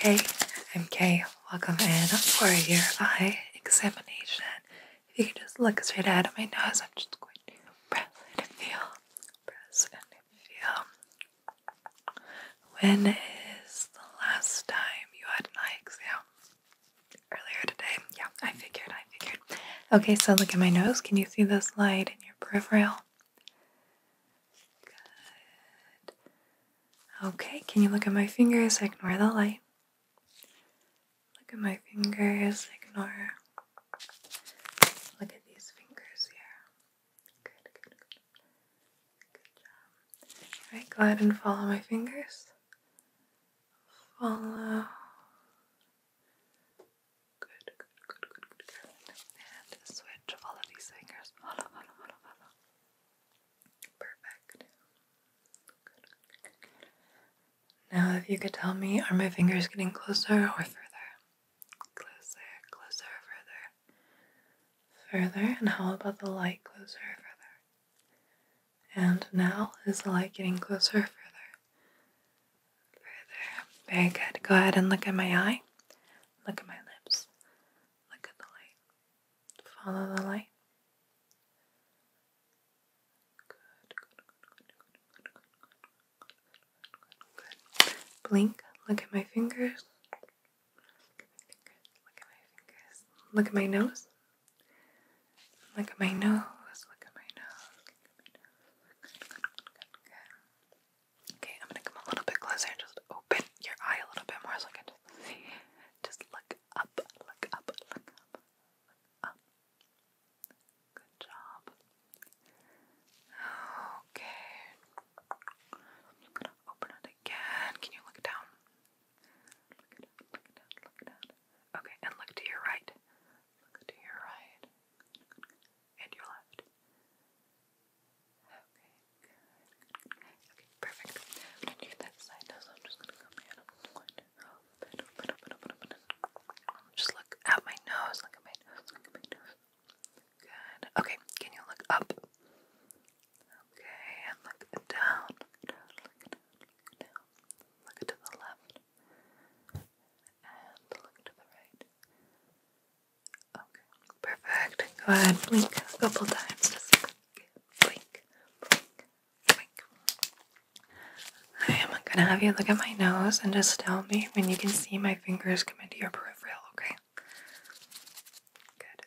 Hey, I'm Kay. Welcome in for your eye examination. If you can just look straight out of my nose, I'm just going to press and feel. Press and feel. When is the last time you had an eye exam? Earlier today? Yeah, I figured, I figured. Okay, so look at my nose. Can you see this light in your peripheral? Okay, can you look at my fingers? Ignore the light. Look at my fingers. Ignore. Look at these fingers here. Good, good, good. job. Alright, go ahead and follow my fingers. Follow. good, and switch all of these fingers. Perfect. Now, if you could tell me, are my fingers getting closer or further? Closer, closer, further. Further, and how about the light closer, further? And now, is the light getting closer, further? Further. Very good. Go ahead and look at my eye. Look at my lips. Look at the light. Follow the light. Good, Blink. Look at my fingers. Look at my fingers. Look at my nose. Look at my nose. Look at my nose. Okay, I'm gonna come a little bit closer and just open your eye a little bit more so I can just look up, look up, look up, up. Good job. Okay. I'm gonna open it again. Can you look down? Look down, look down, look down. Okay, and look to your right. Look to your right and your left. Okay, Okay, perfect. that side I'm just gonna come in. just look at my nose, look at my nose. Good. Okay, can you look up? Okay, and look down, look down, look down, look down. Look to the left. And look to the right. Okay, perfect. Go ahead, blink a couple times. Just blink, blink, blink. I am gonna have you look at my nose and just tell me when you can see my fingers come into your peripheral, okay? Good.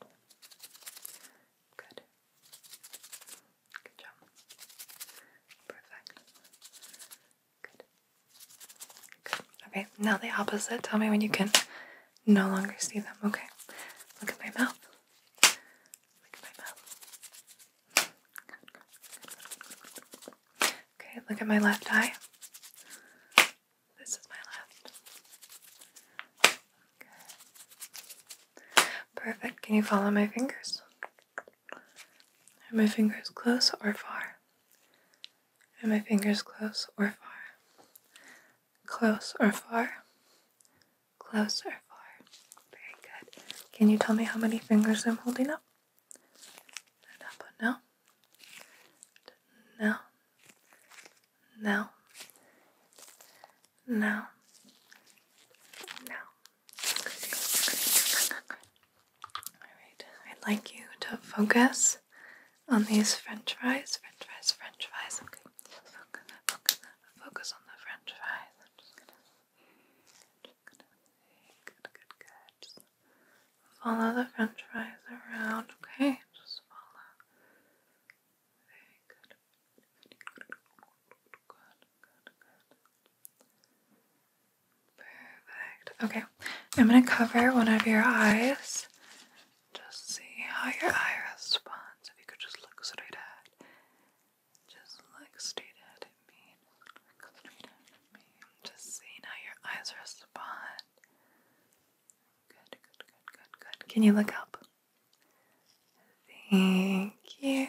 Good. Good. Good job. Perfect. Good. Good. Okay, now the opposite. Tell me when you can no longer see them. Okay. Look at my mouth. Look at my mouth. Okay, look at my left eye. This is my left. Good. Perfect. Can you follow my fingers? Are my fingers close or far? Are my fingers close or far? Close or far? Close or far? Very good. Can you tell me how many fingers I'm holding up? And no. No. No. Now. Now. Alright, I'd like you to focus on these french fries. French fries, french fries. Okay. Focus, focus, on the french fries. I'm just gonna. Just good, good, good. Just follow the french fries around, okay? Just follow. Very good. Perfect. Okay, I'm gonna cover one of your eyes. Just see how your eye responds. If you could just look straight ahead. Just look straight at me. Just see how your eyes respond. Good, good, good, good, good. Can you look up? Thank you.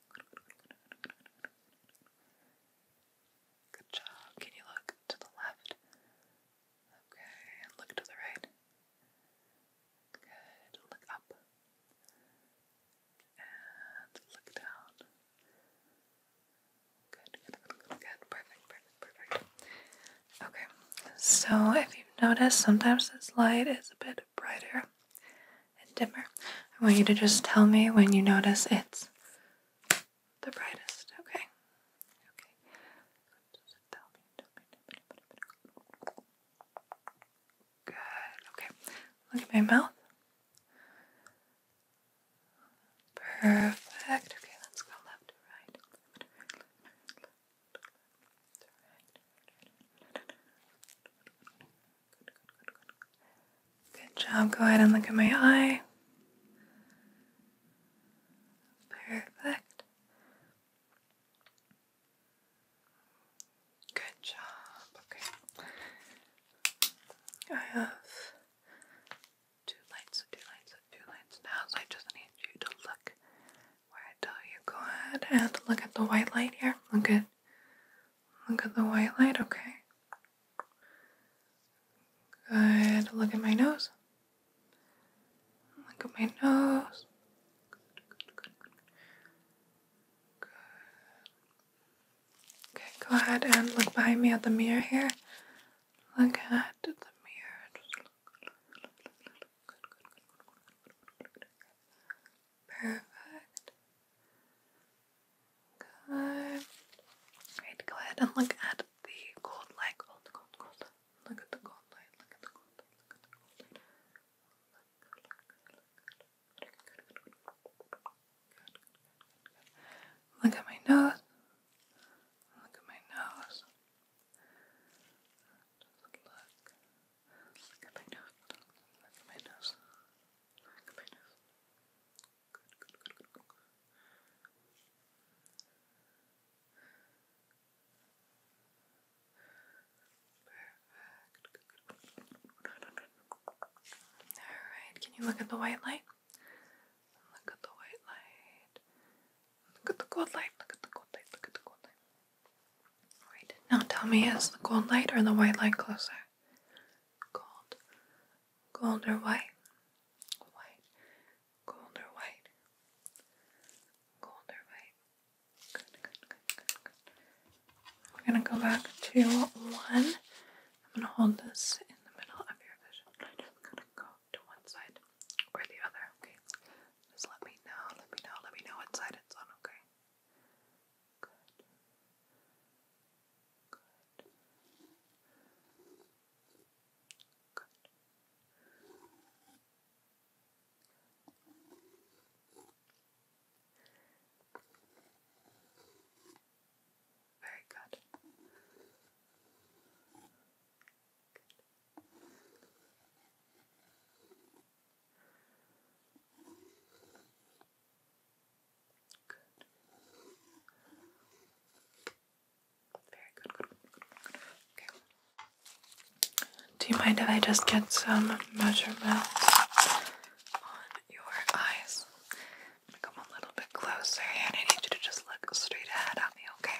Good job. Can you look to the left? Okay, look to the right. Good. Look up. And look down. good, good, good. Perfect, perfect, perfect. Okay, so if you've noticed, sometimes this light is a bit brighter and dimmer. I want you to just tell me when you notice it's the brightest, okay? Okay. Good. Okay. Look at my mouth. Perfect. Okay, let's go left to right. Good, job. Go ahead and look at my eye. Perfect. Good job. Okay. I have two lights, two lights, two lights now, I just need you to look where I tell you. Go ahead and look at the white light here. Look at Look at the white light, okay. Good. Look at my nose. Look at my nose. Good, good, good, good. Okay, go ahead and look behind me at the mirror here. Look at the mirror. Perfect. Good. Great. Go ahead and look at the gold light. Look at the gold light. Look at the gold light. Look at my nose. Look at my nose. Alright, can you look at the white light? Look at the white light. Look at the gold light. Look at the gold light. Look at the gold light. Alright, now tell me is the gold light or the white light closer? Gold. Gold or white? White. Gold or white? Gold or white? Good, good, good, good, good. We're gonna go back to one. I'm gonna hold this in the middle of your vision. I'm just gonna go to one side or the other, okay? Just let me know, let me know, let me know what side it's on, okay? Good. Good. Good. Very good. good. Do you mind if I just get some measurements on your eyes? I'm gonna come a little bit closer and I need you to just look straight ahead at me, okay?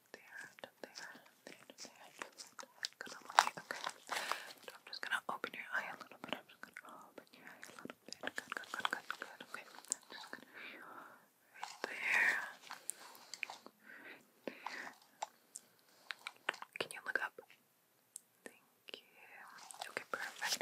there, to there, there, to there, just gonna lie, okay? I'm just gonna open your eye a little bit, I'm just gonna open your eye a little bit, good, good, good, good, good, okay? I'm just gonna, right there, Can you look up? Thank you. Okay, perfect.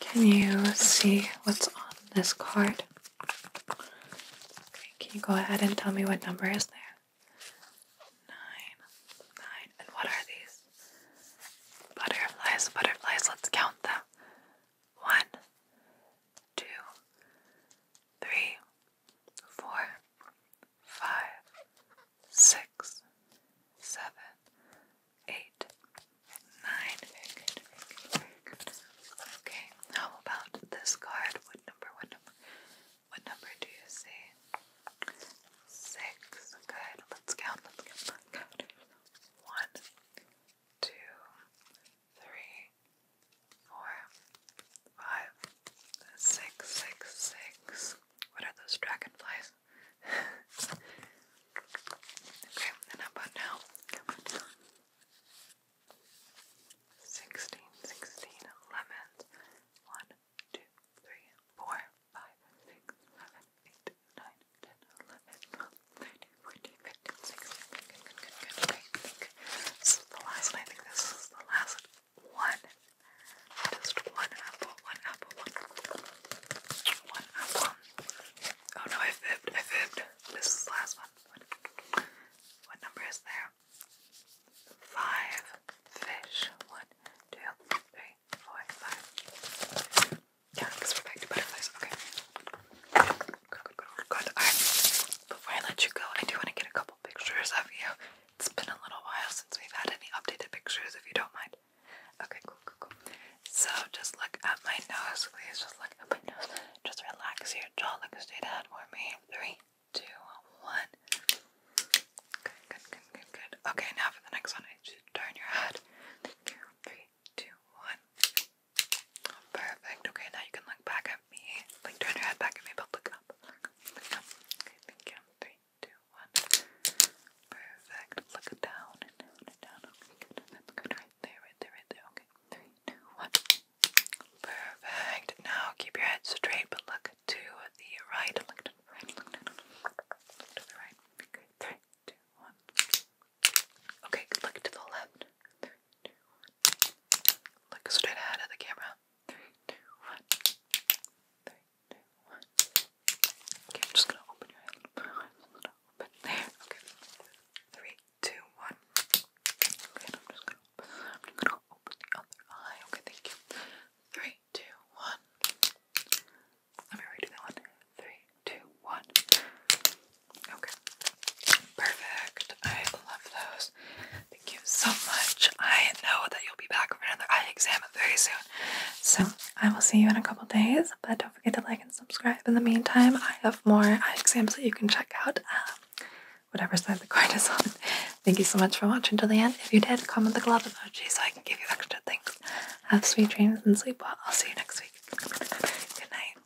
Can you see what's on this card? can you go ahead and tell me what number is there? Nine. Nine. And what are these? Butterflies, butterflies. Let's count them. One, two, three, four, five, six, seven, eight, nine. Okay, how about this card? What number? What number? What number do you see? Six. Good. Let's count. Let's count. One, two, three, four, five, six, six, six. What are those dragonflies? okay, and how about now? How about now? Sixteen, sixteen, lemons. One, two, three, four, five, six, seven, eight, nine, ten, eleven, twelve, thirteen, fourteen, fifteen, sixteen. Good, good, good, good. Okay, I think the last one. I think this is the last one. Just one apple, one apple, one apple. Oh no, I fibbed, I fibbed. This is the last one. what number is there? Five fish. One, two, three, four, five. Yeah, because we're back to butterflies. Okay. Alright, before I let you go, I do want to get a couple pictures of you. It's been a little while since we've had any updated pictures, if you don't mind. Okay, cool, cool, cool. So just look at my nose, please. Just look at my nose. Just relax your jaw. Look straight ahead for me. Three, two, one. Good, good, good, good, good. Okay, now for the next one, I should turn your head. Three, two, one. Perfect. Okay, now you can look back at me. Like turn your head back at me, but look up. Look up. Okay, thank you. Three, two, one. Perfect. Look down and down Okay, good. That's good. Right there, right there, right there. Okay. Three, two, one. Perfect. Now keep your head straight, but look to the right. Look to the right. Look to the right. Okay, three, two, one. Okay, look to the left. Look straight ahead at the camera. Three, two, one. Okay, I'm just gonna open your eye I'm gonna open there. Okay. Three, two, one. Okay, I'm just gonna I'm gonna open the other eye. Okay, thank you. Three, two, one. Let me redo that one. Three, two, one. Okay. Perfect. I love those. Thank you so much. I know that you'll be back for another eye exam very soon. So I will see you in a couple days, but don't forget to like and subscribe. In the meantime, I have more eye exams that you can check out. Um, whatever side the coin is on. Thank you so much for watching till the end. If you did, comment the glove emoji so I can give you extra things. Have sweet dreams and sleep well. I'll see you next week. Good night.